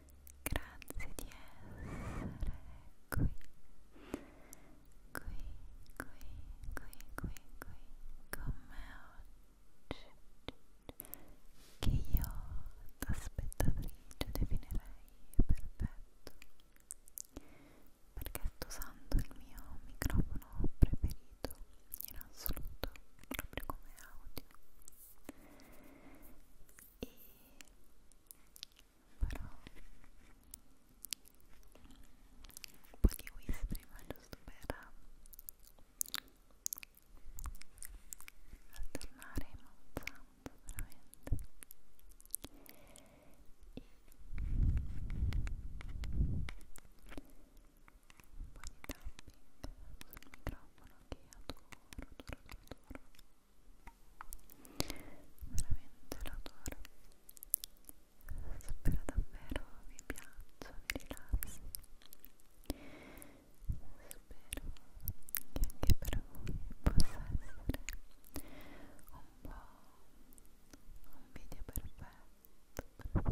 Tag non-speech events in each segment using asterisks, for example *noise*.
Grazie di essere qui, qui, qui, qui, qui, qui, con me oggi, che io da spettatrice definirei perfetto, perché sto usando il mio microfono preferito in assoluto, proprio come audio. E farò un po' di whispering ma giusto per alternare i mouth sound veramente e un po' di tapping sul microfono che adoro, adoro, adoro, adoro veramente lo adoro spero davvero vi piaccia, vi rilassi spero che anche per voi possa essere un po' un video perfetto perfetto perfetto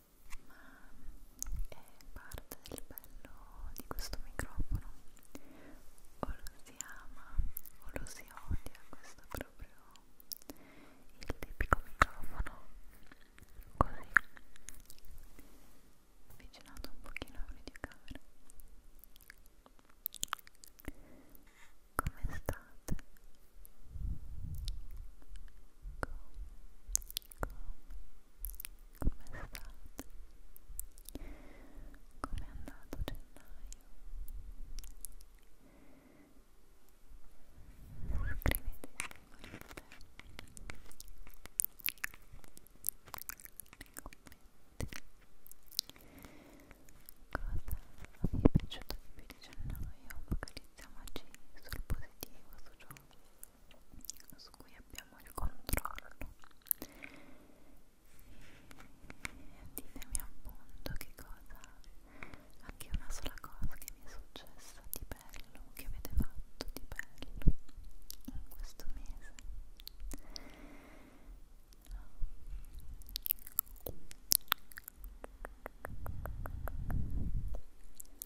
ma è parte del bello di questo microfono o lo si ama o lo si odia questo è proprio il tipico microfono così avvicinato un pochino alla videocamera come state? Come come state? Come è andato gennaio? Scrivetemi voi nei commenti cosa vi è piaciuto di più di gennaio focalizziamoci sul positivo, su ciò su cui abbiamo il controllo e ditemi appunto che cosa anche una sola cosa che mi è successa di bello che avete fatto di bello in questo mese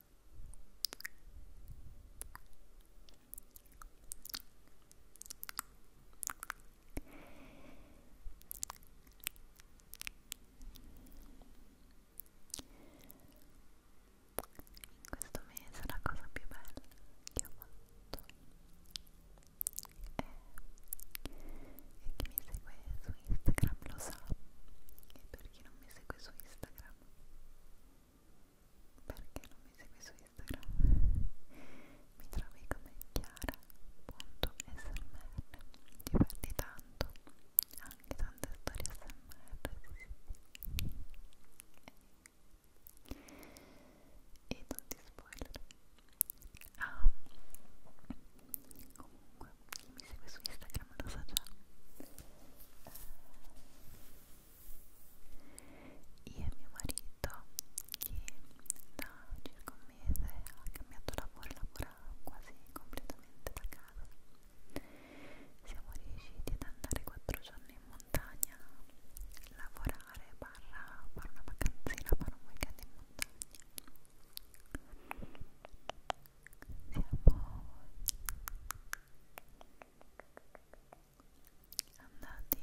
In questo mese la cosa più bella che ho fatto è e chi mi segue su Instagram lo sa e per chi non mi segue su Instagram perché non mi segui su Instagram mi trovi come chiara.smr diverti tanto anche tante storie smr sì, sì. e tutti spoiler ah comunque chi mi segue su Instagram lo sa già eh, io e mio marito, che da circa un mese ha cambiato lavoro e lavora quasi completamente da casa, siamo riusciti ad andare quattro giorni in montagna, lavorare, barra, fare una vacanzina, fare un weekend in montagna. Siamo andati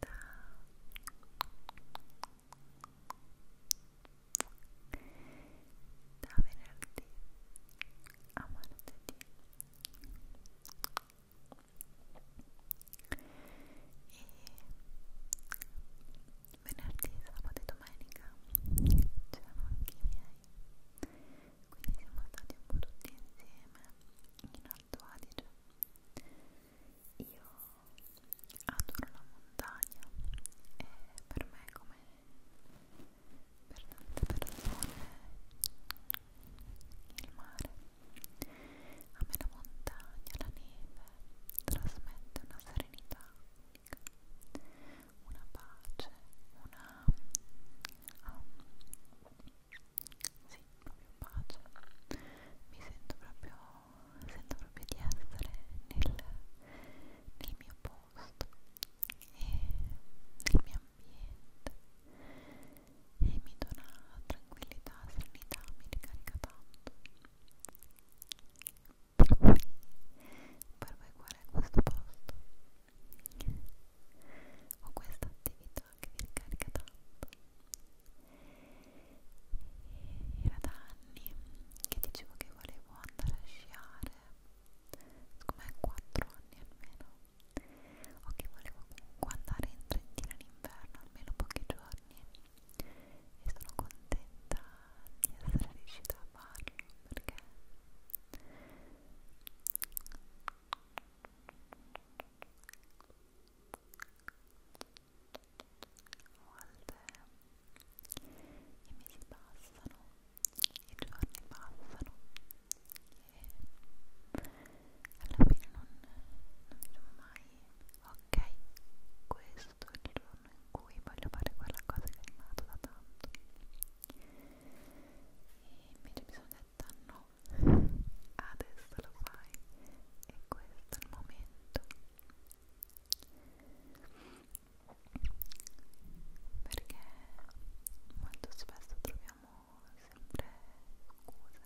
da da venerdì a martedì e venerdì, sabato e domenica c'erano anche i miei quindi siamo stati un po' tutti insieme in Alto Adige io adoro la montagna e per me come per tante persone il mare a me la montagna, la neve trasmette una serenità pacifica, una pace, una um, sì, proprio pace. Mi sento proprio, sento proprio di essere nel, nel mio posto e nel mio ambiente e mi dona tranquillità, serenità, mi ricarica tanto per voi, per voi qual è questo posto? ho questa attività che mi ricarica tanto e era da anni che dicevo che volevo andare a sciare secondo me 4 anni almeno o che volevo comunque andare in Trentino in inverno almeno pochi giorni e sono contenta di essere riuscita a farlo perché volte i mesi passano, i giorni passano e alla fine non, non diciamo mai ok, questo è il giorno in cui voglio fare quella cosa che mi ha dato da tanto e invece mi sono detta no adesso lo fai e questo è il momento perché molto spesso troviamo sempre scuse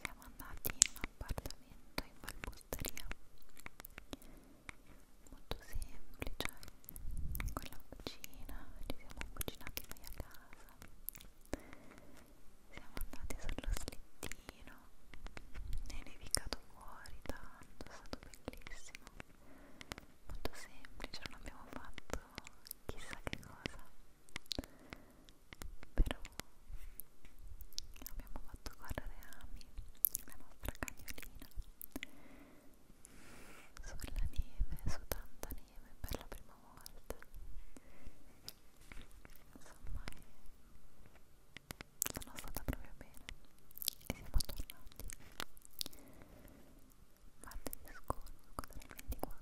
siamo andati in un appartamento in Valposteria molto semplice con la cucina ci siamo cucinati noi a casa siamo andati sullo slittino e nevicato fuori tanto è stato bellissimo molto semplice non abbiamo fatto chissà che cosa però abbiamo fatto correre Ami, la nostra cagnolina sulla neve, su tanta neve per la prima volta insomma è... Eh, sono stata proprio bene e siamo tornati martedì scorso, cosa il 24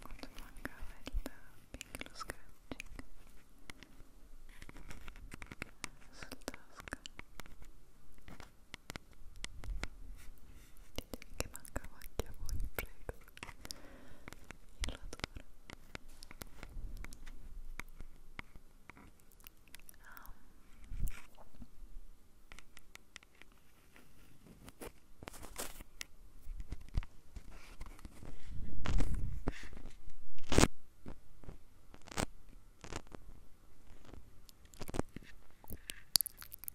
quanto mancava il tapping, lo scratching sul tasca Ditemi che mancava anche a voi, prego. Io lo adoro. Ah.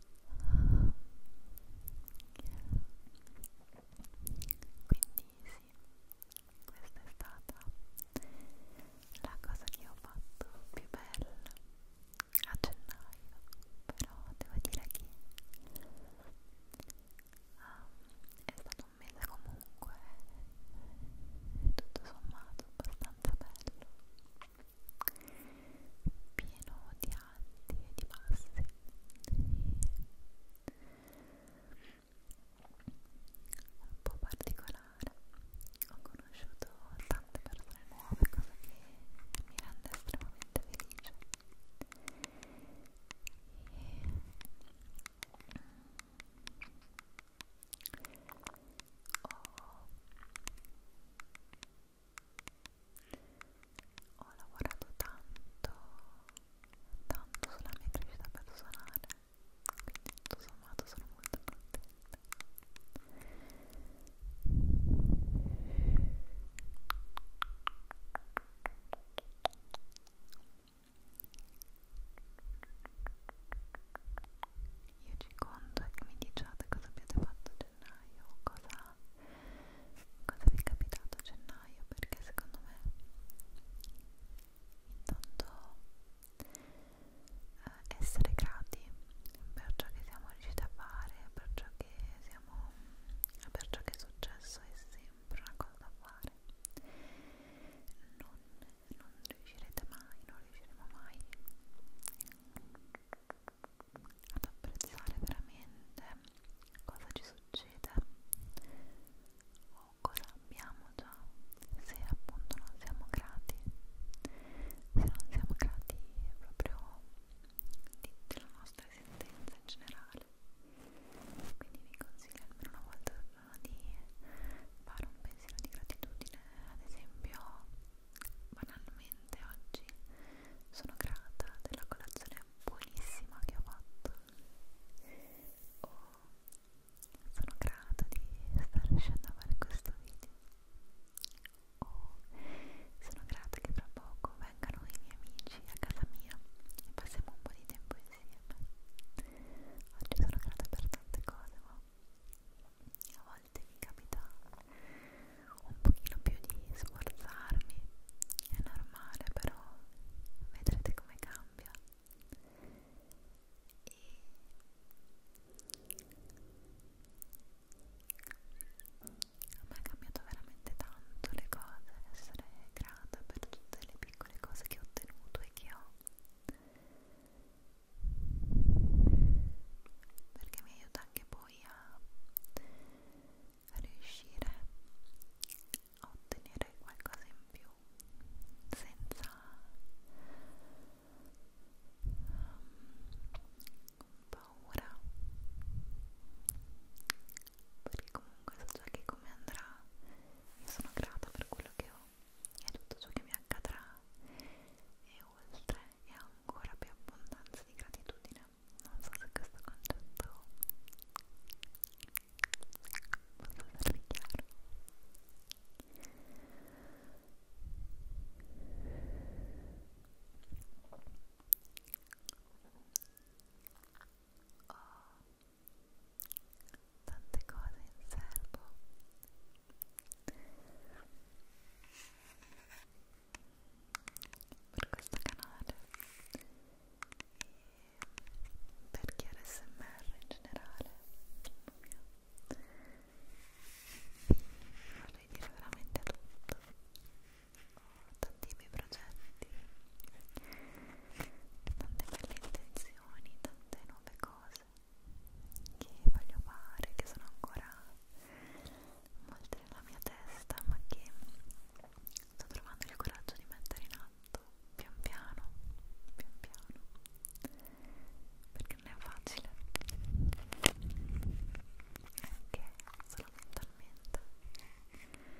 sì, questa è stata la cosa che ho fatto più bella a gennaio, però devo dire che um, è stato un mese comunque tutto sommato abbastanza bello pieno di alti e di bassi un po' particolare ho conosciuto tante persone nuove cosa che mi rende estremamente felice e ho ho lavorato tanto tanto sulla mia crescita personale quindi tutto sommato sono molto contenta io ci conto e mi diciate cosa abbiate fatto gennaio cosa, cosa vi è capitato a gennaio perché secondo me intanto eh, essere grati per ciò che siamo riusciti a fare per ciò che siamo per ciò che è successo è sempre una cosa da fare non, non riuscirete mai non riusciremo mai ad apprezzare veramente cosa ci succede o cosa abbiamo già se appunto non siamo grati se non siamo grati proprio di, della nostra esistenza in generale quindi vi consiglio almeno una volta al giorno di fare un pensiero di gratitudine ad esempio banalmente oggi sono grata della colazione buonissima che ho fatto o oh, sono grata di stare riuscendo a fare questo video o oh, sono grata che tra poco vengano i miei amici a casa mia e passiamo un po' di tempo insieme oggi sono grata per tante cose ma a volte mi capita un pochino più di sforzarmi, è normale però vedrete come cambia e a me ha cambiato veramente tanto le cose, essere grata per tutte le piccole cose che ho ottenuto e che ho perché mi aiuta anche poi a riuscire a ottenere qualcosa in più senza um, paura perché comunque so già che come andrà io sono grata per quello che ho e tutto ciò che mi accadrà e oltre e ancora più abbondanza di gratitudine non so se questo concetto possa essere chiaro ho tante cose in serbo per questo canale e per chi ASMR in generale vorrei dire veramente tutto ho tanti miei progetti tante belle intenzioni tante nuove cose che voglio fare che sono ancora molte nella mia testa ma che sto trovando il coraggio di mettere in atto pian piano, pian piano perché non è facile anche solo mentalmente Ecco,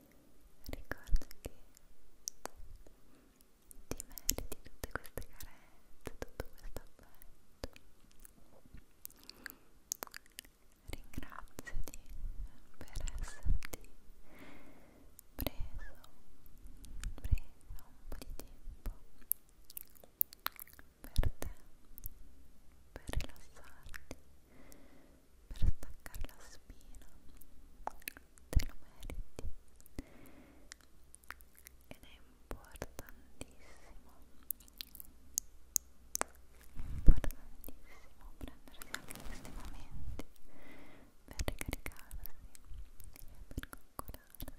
ricorda che ti meriti tutte queste carezze, tutto questo affetto ringraziati per esserti preso, preso un po' di tempo per te, per rilassarti, per per staccare la spina te lo meriti ed è importantissimo importantissimo prendersi anche questi momenti per ricaricarsi e per coccolarsi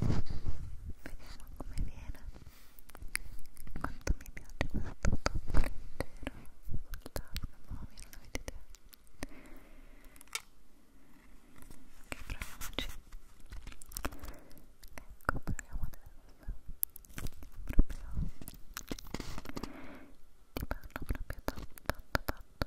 Vediamo come viene. Quanto mi piace questo top leggero sul tavolo mobile, non avete idea. Ok, proviamoci. Ecco, proviamo adesso. Proprio ti parlo proprio tanto tanto tanto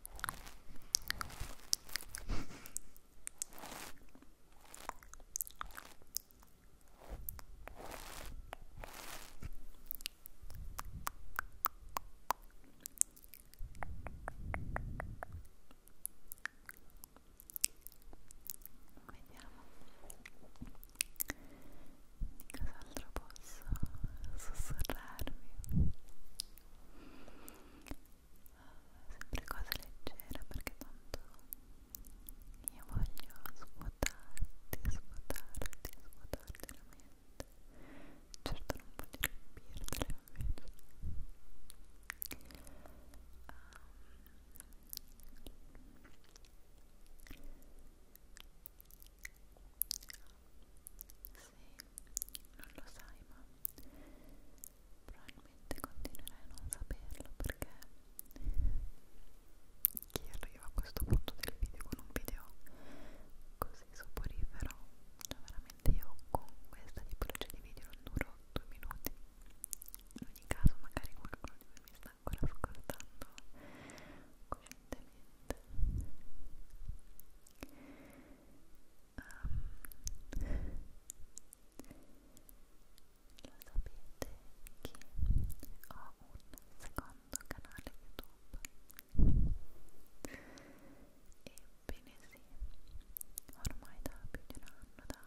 Vediamo di cos'altro posso sussurrarvi sempre cose leggere perché tanto io voglio svuotarti, svuotarti, svuotarti la mente certo non voglio riempirtela invece um, non lo sai ma probabilmente continuerai a non saperlo perché chi arriva a questo punto del video con un video così soporifero cioè veramente io con questa tipologia di video non duro due minuti in ogni caso magari qualcuno di voi mi sta ancora ascoltando coerentemente secondo canale YouTube. Ebbene sì, ormai da più di un anno, da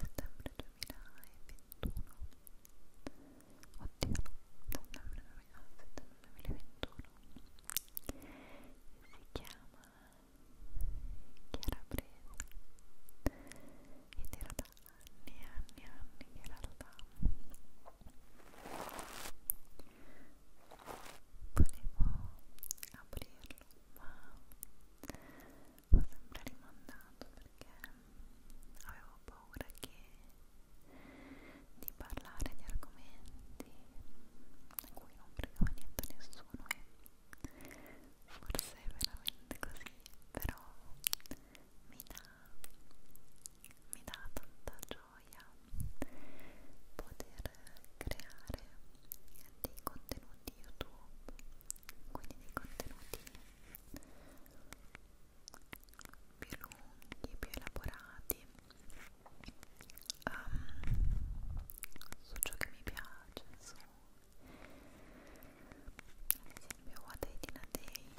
settembre 2021. Oddio, settembre 2021. si chiama Chiara Bresa ed era da anni e anni e anni che in realtà volevo aprirlo ma ho sempre rimandato perché avevo paura che di parlare di argomenti a cui non fregava niente a nessuno e forse è veramente così, però mi dà, mi dà tanta gioia poter creare dei contenuti YouTube, quindi dei contenuti più lunghi, più elaborati um, su ciò che mi piace, su ad esempio What I Did a Day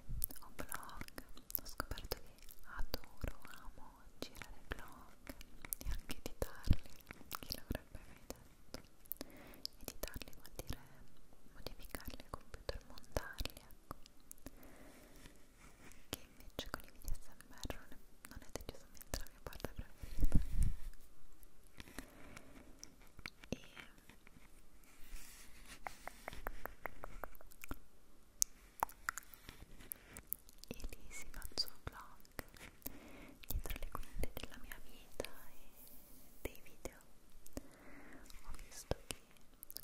o blog, ho scoperto che adoro, amo girare blog e anche editarli, chi l'avrebbe mai detto, editarli vuol dire modificarli al computer, montarli, ecco che invece con i video SMR non, non è decisamente la mia parte preferita e e lì si faccio un vlog dietro le quinte della mia vita e dei video ho visto che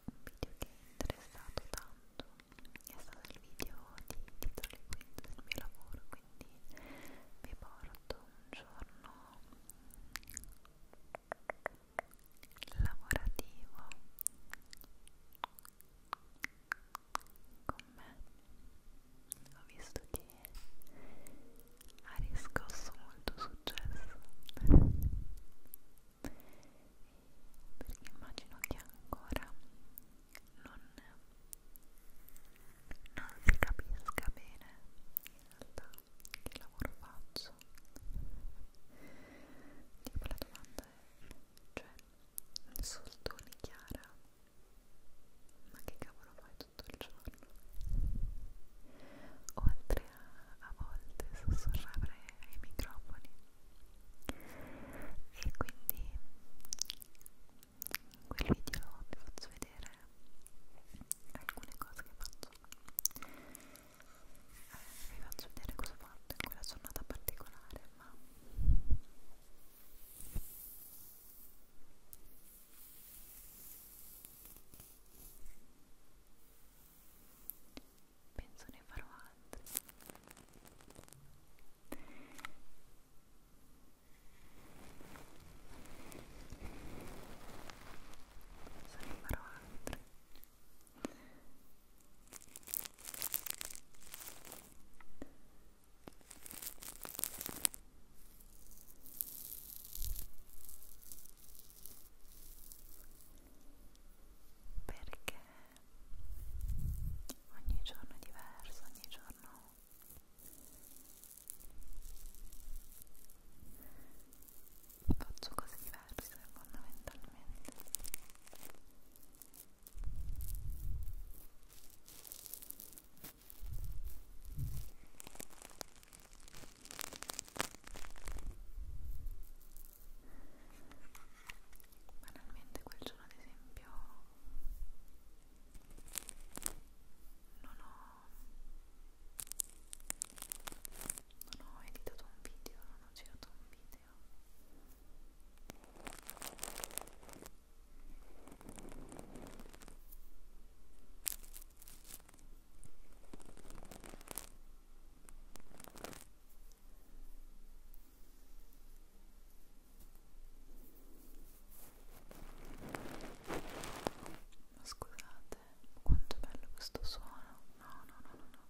un video che è interessato tanto è stato il video di titoli quindi del mio lavoro quindi vi porto un giorno lavorativo con me ho visto che ha riscosso molto successo *laughs* perché immagino che ancora non, non si capisca bene in realtà che lavoro faccio tipo la domanda è cioè soldoni Chiara ma che cavolo fai tutto il giorno oltre a, a volte sussurrare ai microfoni e quindi in quel video vi faccio vedere alcune cose che faccio eh, vi faccio vedere cosa ho fatto in quella giornata particolare ma penso ne farò altri se ne farò altri perché ogni giorno è diverso, ogni giorno faccio cose diverse fondamentalmente banalmente quel giorno ad esempio non ho non ho editato un video non ho girato un video ma scusate, quanto è bello questo suono. No, no, no, no, no.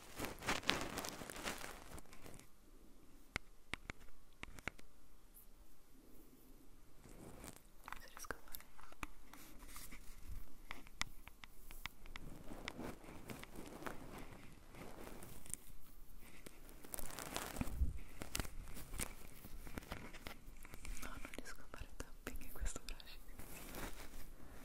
se riesco a fare no non riesco a fare tapping in questo brush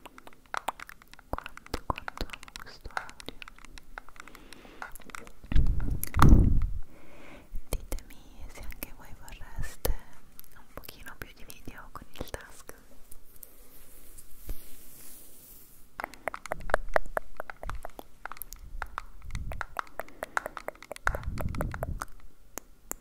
quanto quanto amo questo audio ditemi se anche voi vorreste un pochino più di video con il task Ecco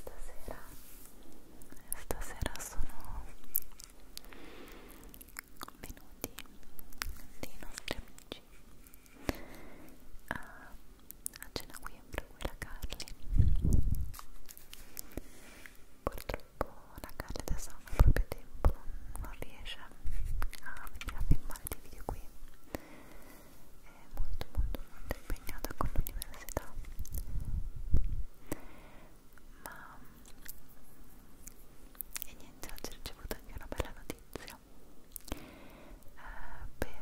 Stasera, stasera sono venuti dei nostri amici a, a cena qui a quella Carli. Purtroppo la Carli adesso non ha proprio tempo, non riesce a venire a filmare dei video qui. È molto molto molto impegnata con l'università ma e niente oggi ho ricevuto anche una bella notizia eh, per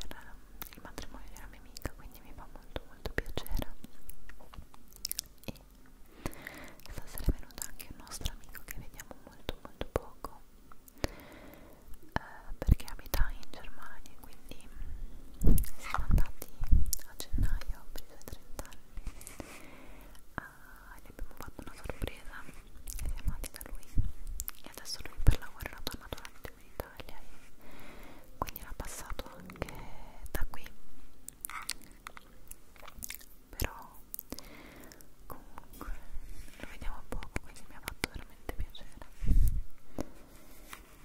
il matrimonio di una mia amica quindi mi fa molto molto piacere e stasera è venuto anche un nostro amico che vediamo molto molto poco eh, perché abita in Germania quindi siamo andati a gennaio per i suoi 30 anni uh, ah, e gli abbiamo fatto una sorpresa e siamo andati da lui e adesso lui per lavoro era tornato un attimo in Italia e quindi era passato anche da qui però comunque lo vediamo poco quindi mi ha fatto veramente piacere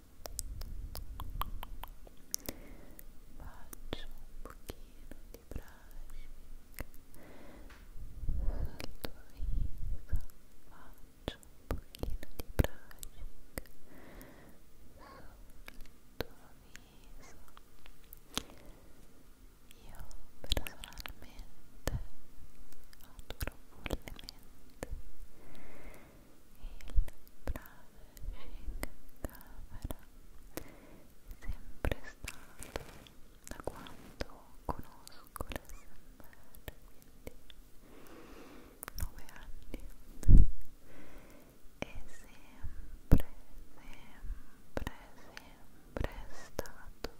faccio un pochino di brushing sul tuo viso faccio un pochino di brushing sul tuo viso io personalmente adoro follemente sempre stato da quando conosco l'SMR quindi 9 anni è sempre sempre sempre stato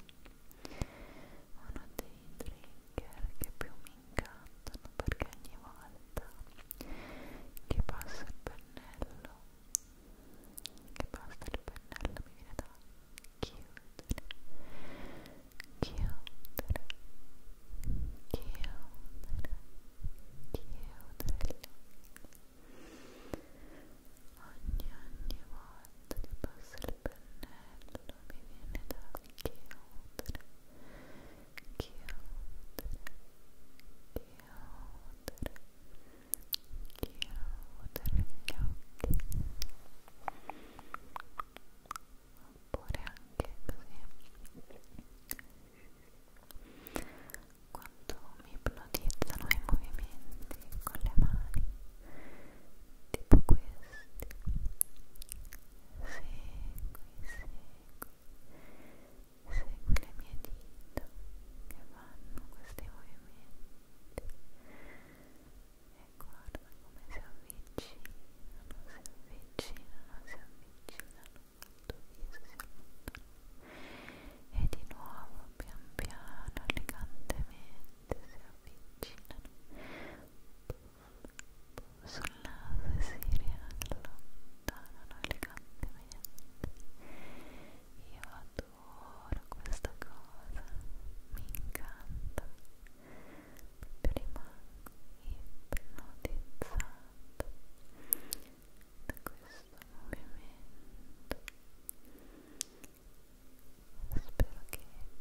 uno dei trigger che più mi mi incantano perché ogni volta che passo il pennello che basta il pennello mi viene da chiudere chiudere chiudere chiudere ogni ogni volta che passo il pennello mi viene da chiudere, chiudere, chiudere gli occhi oppure anche così quando mi ipnotizzano i movimenti con le mani tipo questi segui le mie dita che fanno questi movimenti e guarda come si avvicinano, si avvicinano, si avvicinano al tuo viso, si allontanano e di nuovo pian piano, elegantemente si avvicinano sul naso e si riallontanano elegantemente. Io adoro questa cosa, mi incanta. Proprio rimango ipnotizzata da questo movimento. Spero che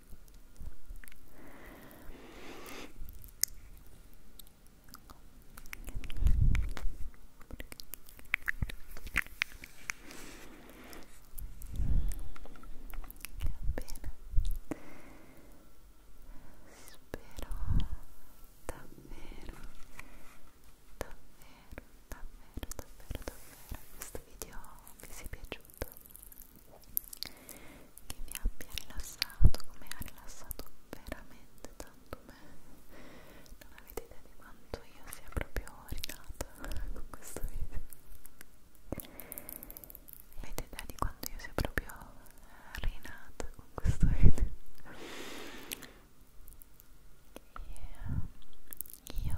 davvero, davvero questo video vi sia piaciuto fatto che mi abbia rilassato come ha rilassato veramente tanto me non avete idea di quanto io sia proprio rinata *laughs* con questo video avete idea di quanto io sia proprio eh, rinata con questo video e io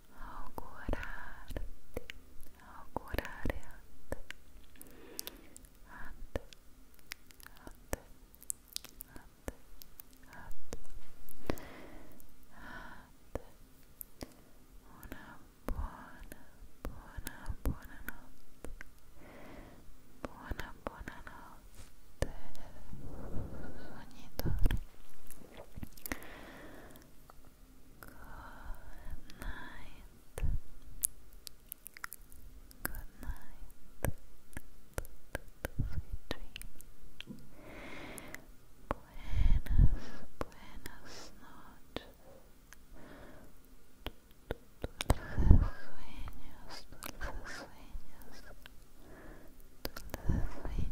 augurarti, augurare a te, a te, a te, a te, a te, a te, una buona, buona, buona notte, buona, buona notte, sognitore. night. Good night. Sweet dreams. Buenas, buenas noches. Dulces sueños, dulces sueños, dulces sueños.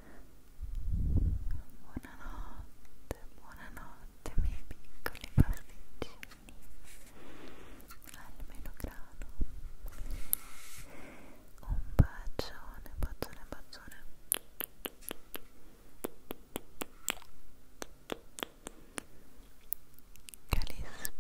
Buonanotte, buonanotte miei piccoli pasticcini Almeno grano Un bacione, bacione, bacione Calispera